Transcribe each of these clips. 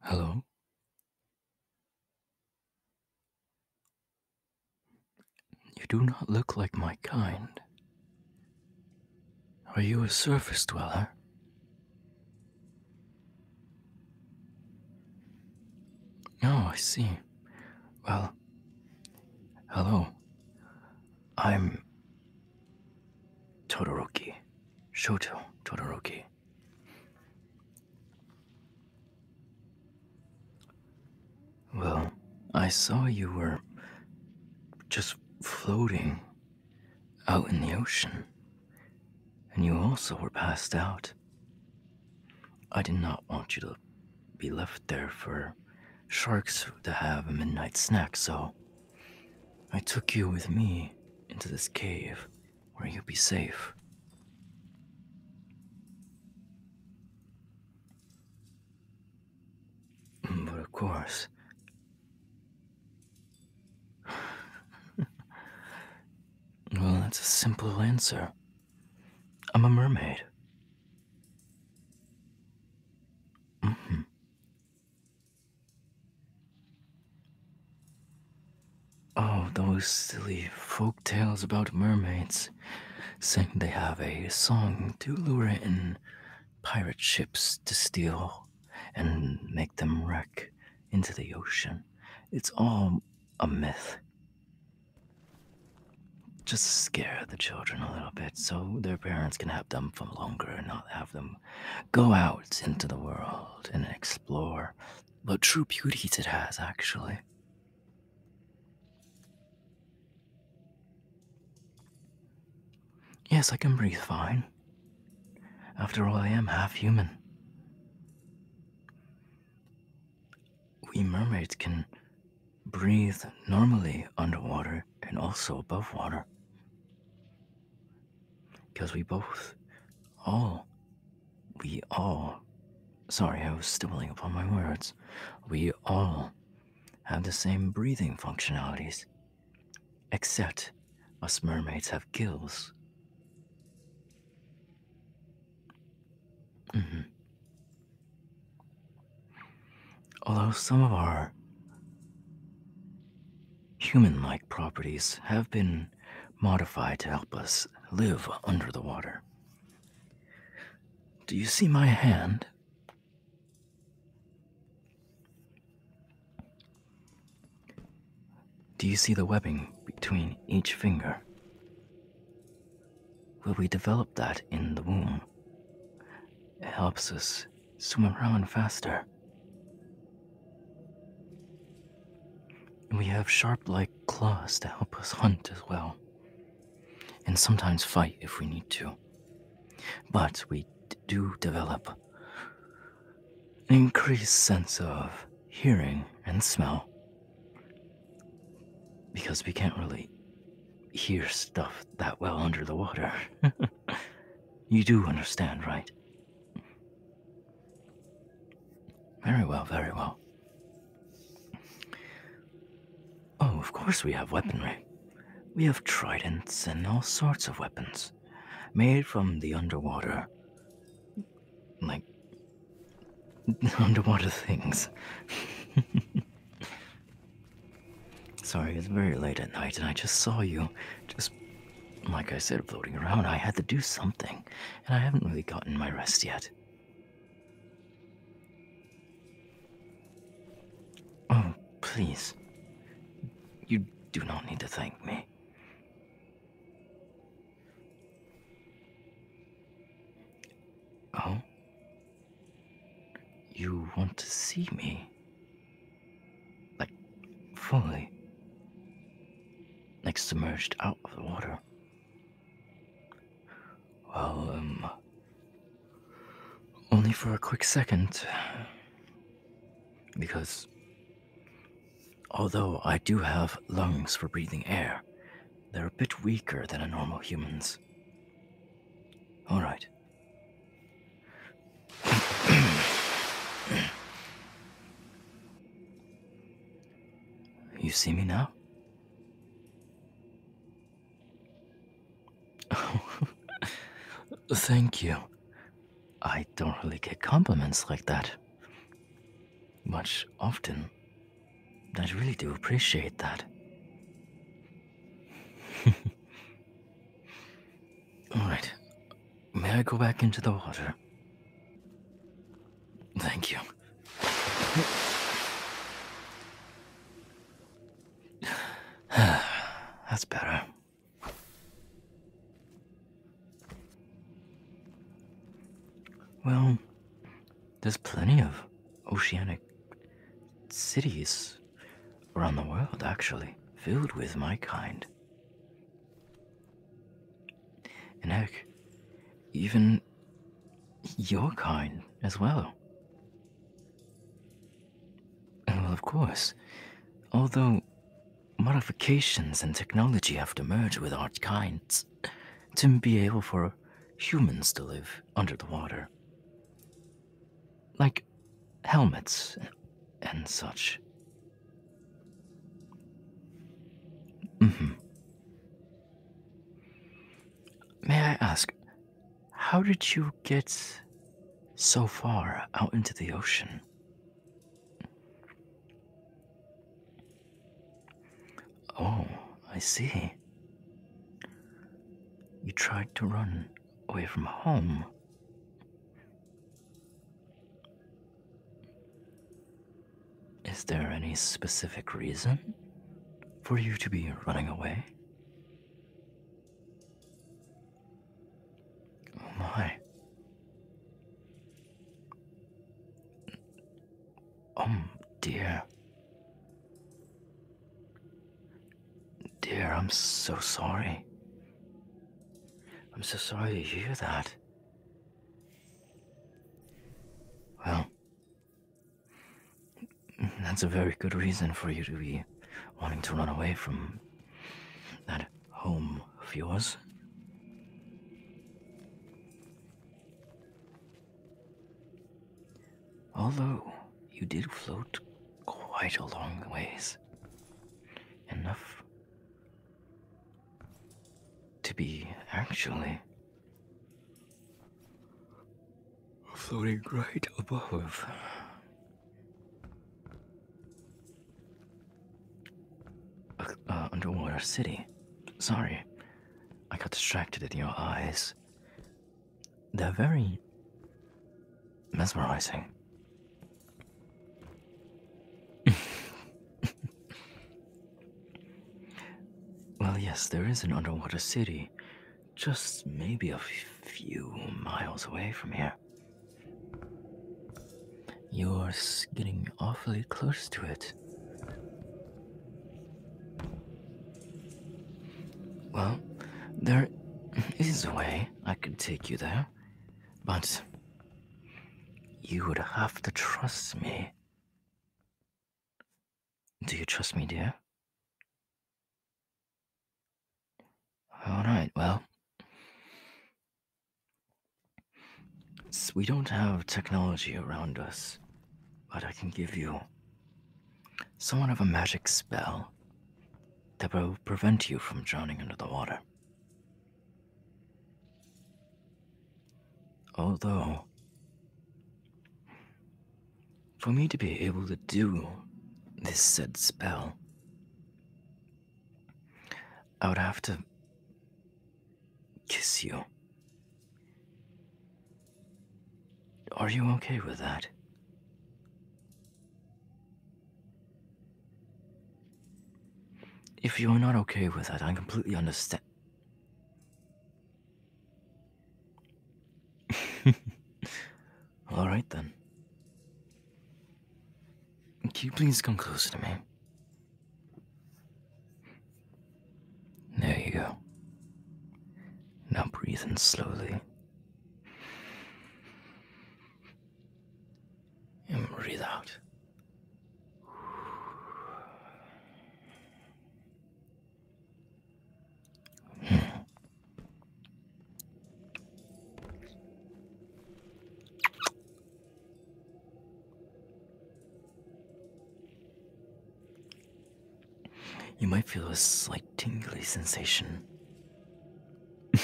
Hello? You do not look like my kind. Are you a surface dweller? Oh, I see. Well, Hello. I'm Todoroki. Shoto Todoroki. Well, I saw you were just floating out in the ocean, and you also were passed out. I did not want you to be left there for sharks to have a midnight snack, so I took you with me into this cave where you would be safe. But of course, well, that's a simple answer. I'm a mermaid. Mm -hmm. Oh, those silly folk tales about mermaids, saying they have a song to lure in pirate ships to steal and make them wreck into the ocean. It's all a myth. Just scare the children a little bit so their parents can have them for longer and not have them go out into the world and explore But true beauties it has, actually. Yes, I can breathe fine. After all, I am half human. We mermaids can breathe normally underwater and also above water. Because we both, all, we all, sorry, I was stumbling upon my words, we all have the same breathing functionalities. Except us mermaids have gills. Mm-hmm. Although some of our human like properties have been modified to help us live under the water. Do you see my hand? Do you see the webbing between each finger? Well, we develop that in the womb? It helps us swim around faster. we have sharp like claws to help us hunt as well. And sometimes fight if we need to. But we do develop an increased sense of hearing and smell because we can't really hear stuff that well under the water. you do understand, right? Very well, very well. Oh, of course we have weaponry. We have tridents and all sorts of weapons made from the underwater. Like underwater things. Sorry, it's very late at night and I just saw you. Just, like I said, floating around. I had to do something, and I haven't really gotten my rest yet. Oh, please. You do not need to thank me. Oh? You want to see me? Like, fully? Like, submerged out of the water? Well, um. Only for a quick second. Because. Although I do have lungs for breathing air, they're a bit weaker than a normal human's. All right. you see me now? Thank you. I don't really get compliments like that. Much often, I really do appreciate that. Alright. May I go back into the water? Thank you. That's better. Well, there's plenty of oceanic cities around the world, actually, filled with my kind. And heck, even your kind as well. well, of course, although modifications and technology have to merge with our kinds, to be able for humans to live under the water. Like helmets and such. Mm -hmm. May I ask, how did you get so far out into the ocean? Oh, I see. You tried to run away from home. Is there any specific reason for you to be running away? Oh my. Oh dear. Dear, I'm so sorry. I'm so sorry to hear that. Well, that's a very good reason for you to be wanting to run away from that home of yours. Although you did float quite a long ways, enough to be actually floating right above. Uh, underwater city. Sorry, I got distracted in your eyes. They're very mesmerizing. well, yes, there is an underwater city, just maybe a few miles away from here. You're getting awfully close to it. Well, there is a way I could take you there, but you would have to trust me. Do you trust me, dear? All right, well, we don't have technology around us but I can give you somewhat of a magic spell that will prevent you from drowning under the water. Although, for me to be able to do this said spell, I would have to kiss you. Are you okay with that? If you're not okay with that, I completely understand. All right then. Can you please come closer to me? There you go. Now breathe in slowly. And breathe out. You might feel a slight tingly sensation.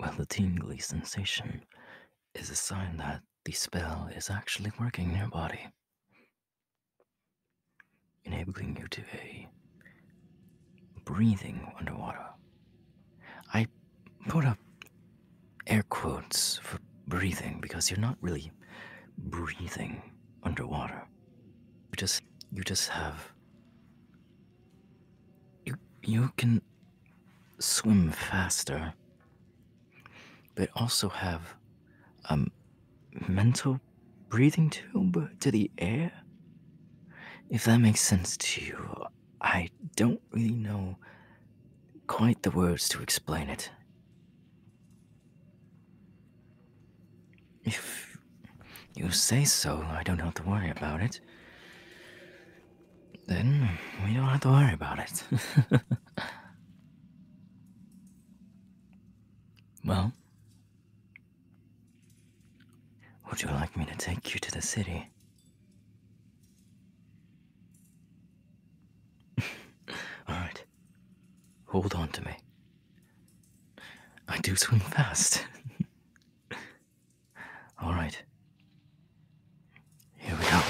well, the tingly sensation is a sign that the spell is actually working in your body, enabling you to be breathing underwater I put up air quotes for breathing because you're not really breathing underwater. You just you just have you you can swim faster but also have um mental breathing tube to the air if that makes sense to you I don't really know quite the words to explain it. If you say so, I don't have to worry about it. Then we don't have to worry about it. well, would you like me to take you to the city? All right. Hold on to me. I do swim fast. All right. Here we go.